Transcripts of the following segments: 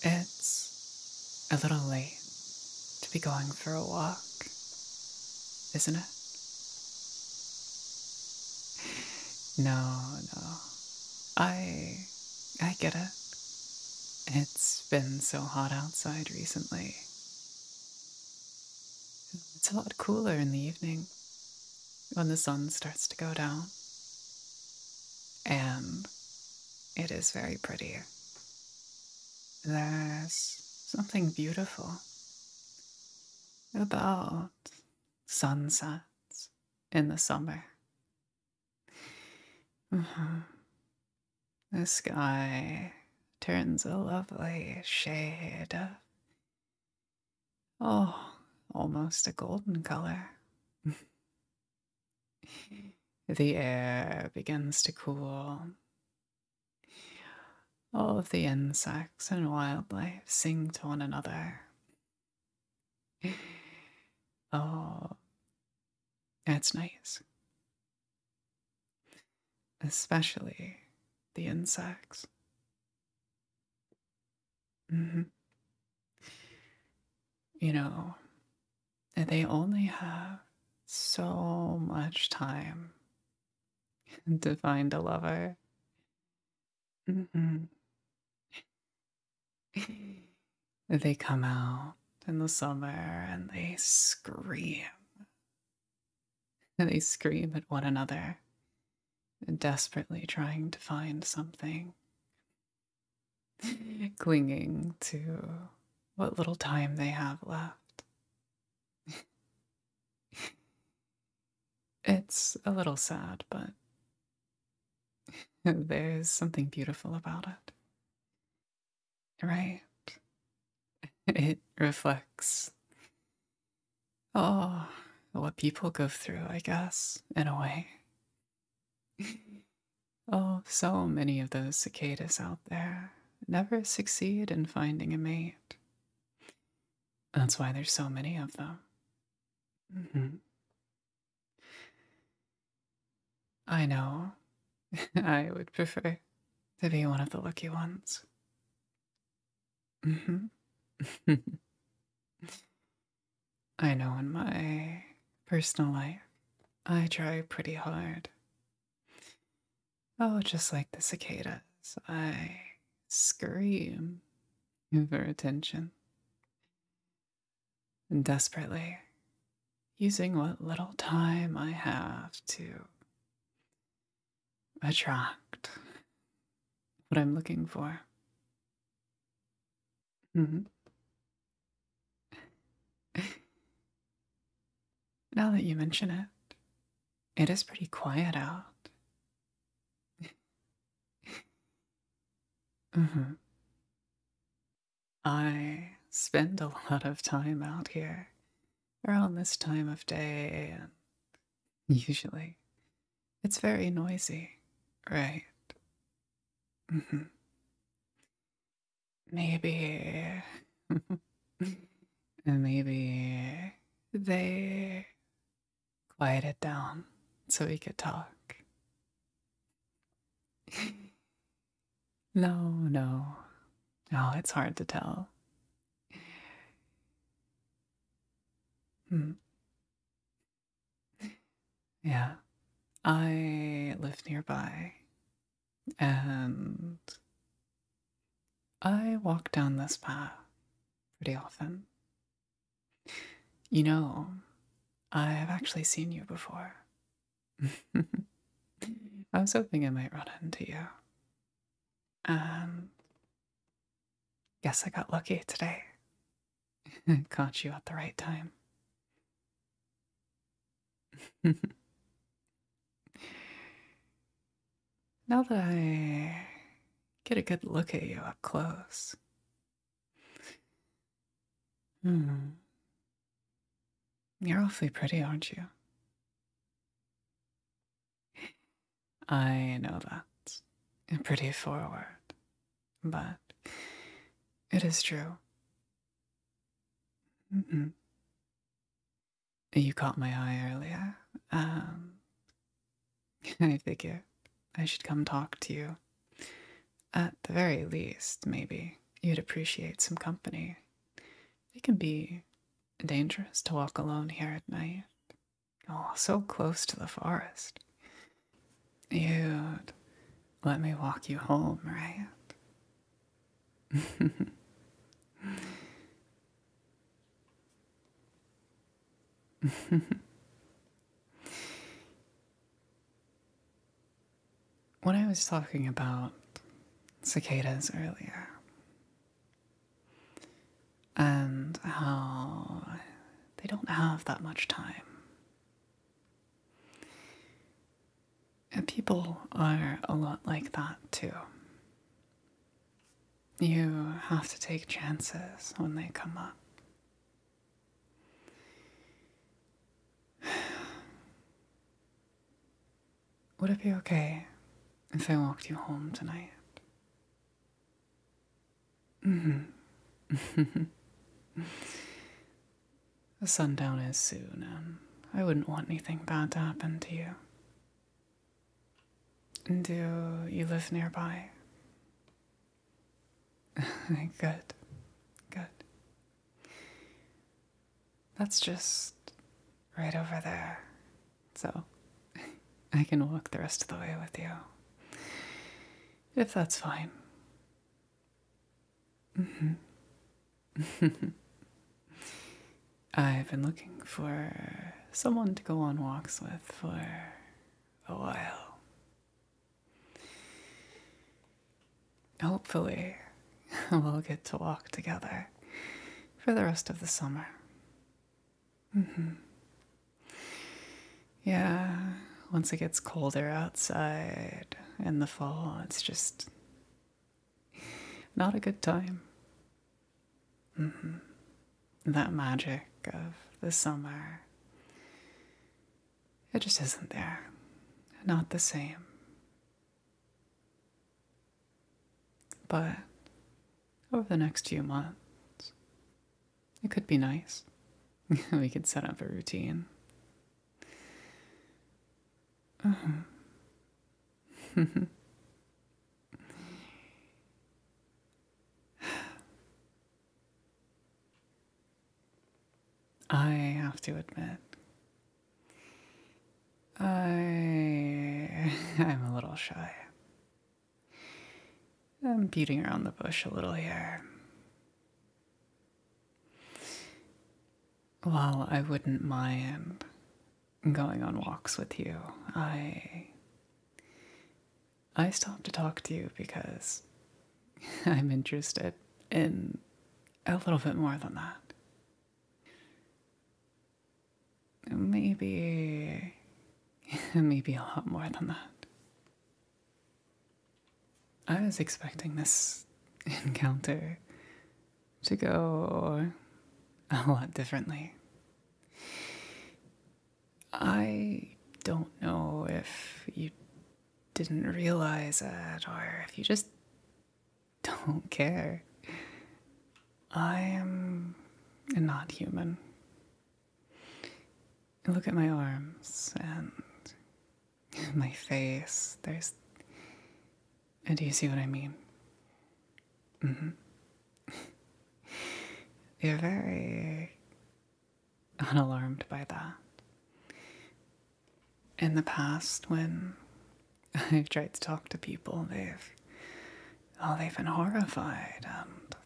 It's a little late to be going for a walk, isn't it? No, no. I I get it. It's been so hot outside recently. It's a lot cooler in the evening when the sun starts to go down. And it is very pretty. There's something beautiful about sunsets in the summer. Mm-hmm. The sky turns a lovely shade of, oh, almost a golden color. the air begins to cool. All of the insects and wildlife sing to one another oh, that's nice. Especially the insects. Mm-hmm. You know, they only have so much time to find a lover. Mm-hmm. they come out in the summer and they scream. They scream at one another, desperately trying to find something, clinging to what little time they have left. It's a little sad, but there's something beautiful about it. Right? It reflects. Oh, what people go through, I guess, in a way. oh, so many of those cicadas out there never succeed in finding a mate. That's why there's so many of them. Mm-hmm. I know. I would prefer to be one of the lucky ones. Mm-hmm. I know in my personal life, I try pretty hard. Oh, just like the cicadas, I scream of her attention. And desperately, using what little time I have to attract what I'm looking for. Mm-hmm. now that you mention it, it is pretty quiet out. mm-hmm. I spend a lot of time out here around this time of day, and usually it's very noisy, right? Mm-hmm. Maybe. maybe they Quiet it down so we could talk. no, no. oh, it's hard to tell. Hmm. Yeah. I live nearby and I walk down this path pretty often. You know, I've actually seen you before. I was hoping I might run into you. And um, guess I got lucky today. Caught you at the right time. Now that I get a good look at you up close, hmm. You're awfully pretty, aren't you? I know that. Pretty forward. But it is true. You caught my eye earlier. Um, I figure I should come talk to you. At the very least, maybe you'd appreciate some company. It can be dangerous to walk alone here at night. Oh, so close to the forest. You'd let me walk you home, right? when I was talking about cicadas earlier, and how they don't have that much time. And people are a lot like that too. You have to take chances when they come up. Would it be okay if I walked you home tonight? Mm-hmm. the sundown is soon, and I wouldn't want anything bad to happen to you. Do you live nearby? good, good. That's just right over there, so I can walk the rest of the way with you. If that's fine. Mm -hmm. I've been looking for someone to go on walks with for a while. Hopefully, we'll get to walk together for the rest of the summer. Mm-hmm. Yeah, once it gets colder outside in the fall, it's just not a good time. Mm-hmm. That magic of the summer. It just isn't there. Not the same. But over the next few months, it could be nice. we could set up a routine. Mm-hmm. I have to admit, I I'm a little shy. I'm beating around the bush a little here. Well, I wouldn't mind going on walks with you. I I stopped to talk to you because I'm interested in a little bit more than that. Maybe maybe a lot more than that. I was expecting this encounter to go a lot differently. I don't know if you didn't realize it or if you just don't care. I am not human. Look at my arms and my face. There's and uh, Do you see what I mean? Mm-hmm. You're very unalarmed by that. In the past, when I've tried to talk to people, they've, all oh, they been horrified, and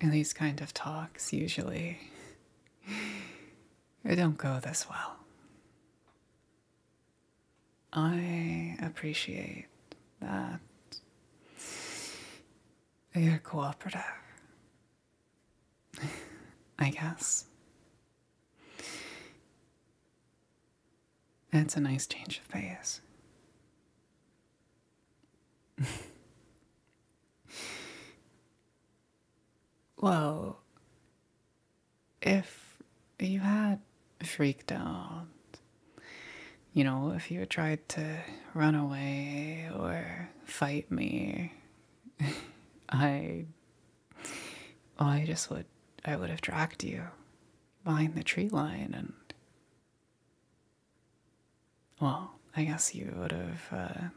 in these kind of talks, usually, they don't go this well. I appreciate that you're cooperative, I guess. that's a nice change of pace. well, if you had freaked out, you know, if you had tried to run away or fight me, I, I just would, I would have tracked you behind the tree line and, well, I guess you would have,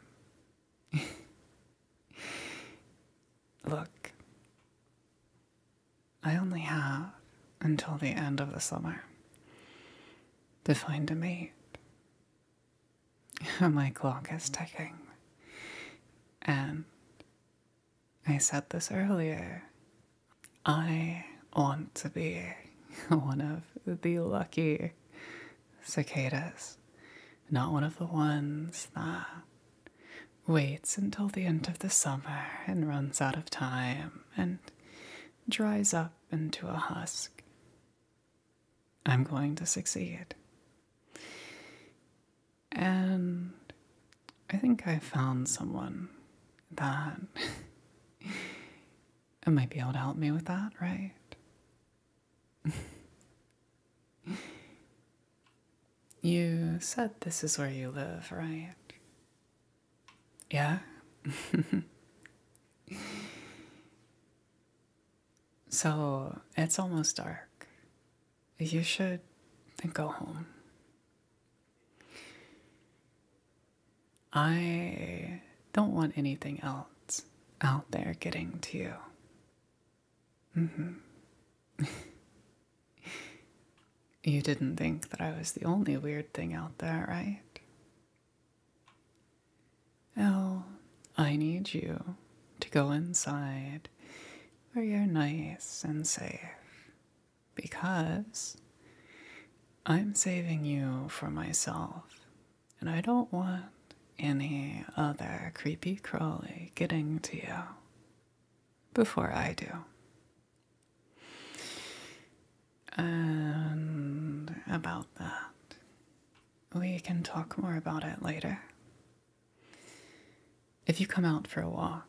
uh, look, I only have until the end of the summer to find a mate. My clock is ticking. And I said this earlier. I want to be one of the lucky cicadas, not one of the ones that waits until the end of the summer and runs out of time and dries up into a husk. I'm going to succeed. And I think I found someone that might be able to help me with that, right? You said this is where you live, right? Yeah? so, it's almost dark. You should go home. I don't want anything else out there getting to you. Mm-hmm. you didn't think that I was the only weird thing out there, right? Well, I need you to go inside where you're nice and safe. Because I'm saving you for myself, and I don't want any other creepy crawly getting to you before I do. And about that, we can talk more about it later. If you come out for a walk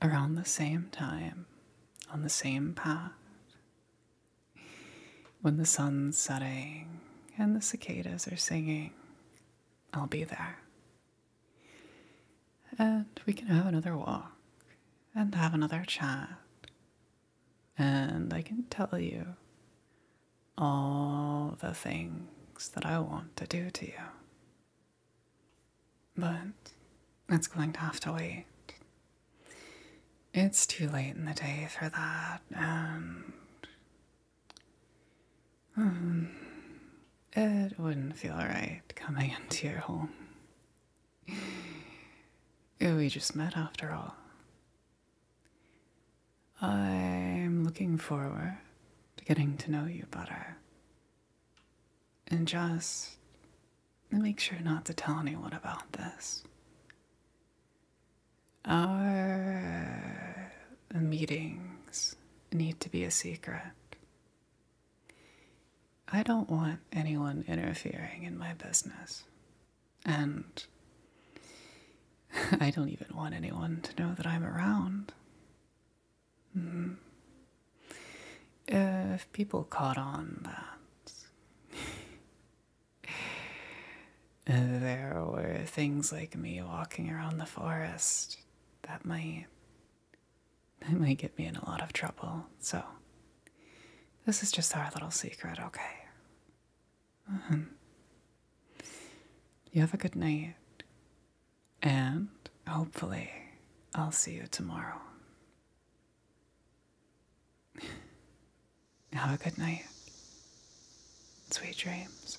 around the same time, on the same path, when the sun's setting and the cicadas are singing, I'll be there. And we can have another walk and have another chat. And I can tell you all the things that I want to do to you. But it's going to have to wait. It's too late in the day for that, and um, it wouldn't feel right coming into your home. We just met after all. I'm looking forward to getting to know you better. And just make sure not to tell anyone about this. Our meetings need to be a secret. I don't want anyone interfering in my business. And I don't even want anyone to know that I'm around. Hmm. If people caught on that there were things like me walking around the forest that might that might get me in a lot of trouble, so this is just our little secret, okay? Uh um, -huh. You have a good night, and hopefully, I'll see you tomorrow. have a good night. Sweet dreams.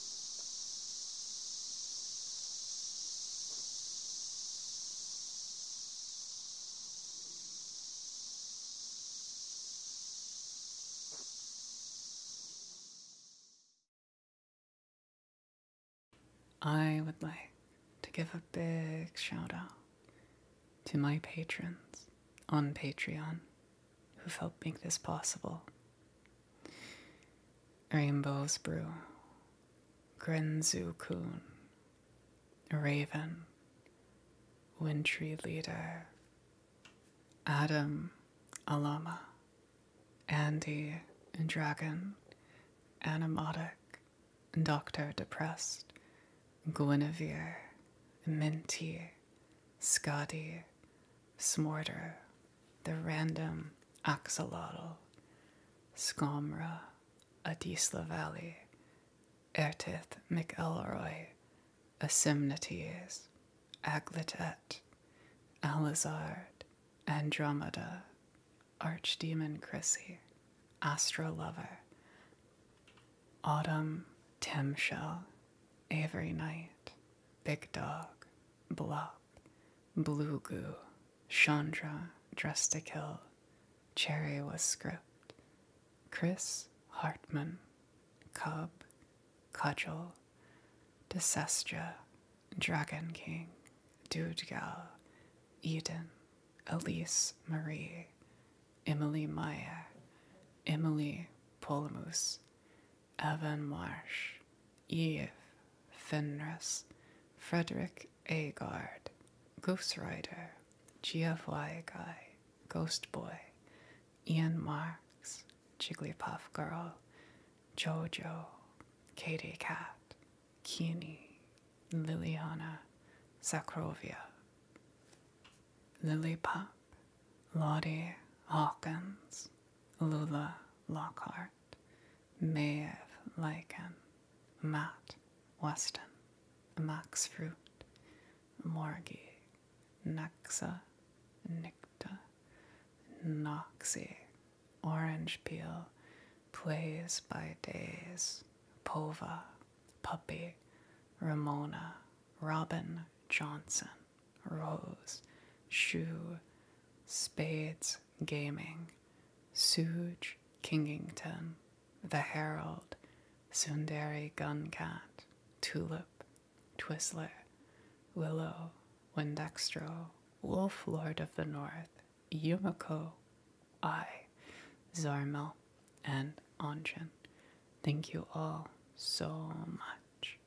I would like to give a big shout out to my patrons on Patreon who've helped make this possible. Rainbow's Brew, Grenzu Kun, Raven, Wintry Leader, Adam, Alama, Andy, and Dragon, Animotic, Doctor Depressed, Guinevere, Minty, Scotty, Smorter the random axolotl, Scomra, Adisla Valley, Ertith McElroy, Asimnates, Aglitet, Alizard, Andromeda, Archdemon Chrissy, Astro Lover, Autumn Timshell, Avery Knight, Big Dog, Bluff, Top, Blue Goo, Chandra, Dress Cherry Was Script, Chris Hartman, Cub, Cudgel, Desestra, Dragon King, Dudegal, Eden, Elise Marie, Emily Meyer, Emily Polmus, Evan-Marsh, Eve Fenris, Frederick Agard, Ghost Rider, GFY Guy, Ghost Boy, Ian Marks, Jigglypuff Girl, Jojo, Katy Cat, Keeney, Liliana, Lily Pop, Lottie Hawkins, Lula Lockhart, Meir Lycan, um, Mat, Weston, Max Fruit, Morgie, Naxa, Nicta, Noxie, Orange Peel, Plays by Days, Pova, Puppy, Ramona, Robin Johnson, rose, shoe, spades, gaming, Suge, Kingington, the Herald, Sundari Guncat, Tulip, Twizzler, Willow, Windextro, Wolf Lord of the North, Yumiko, I, Zarmel, and Anjan. Thank you all so much.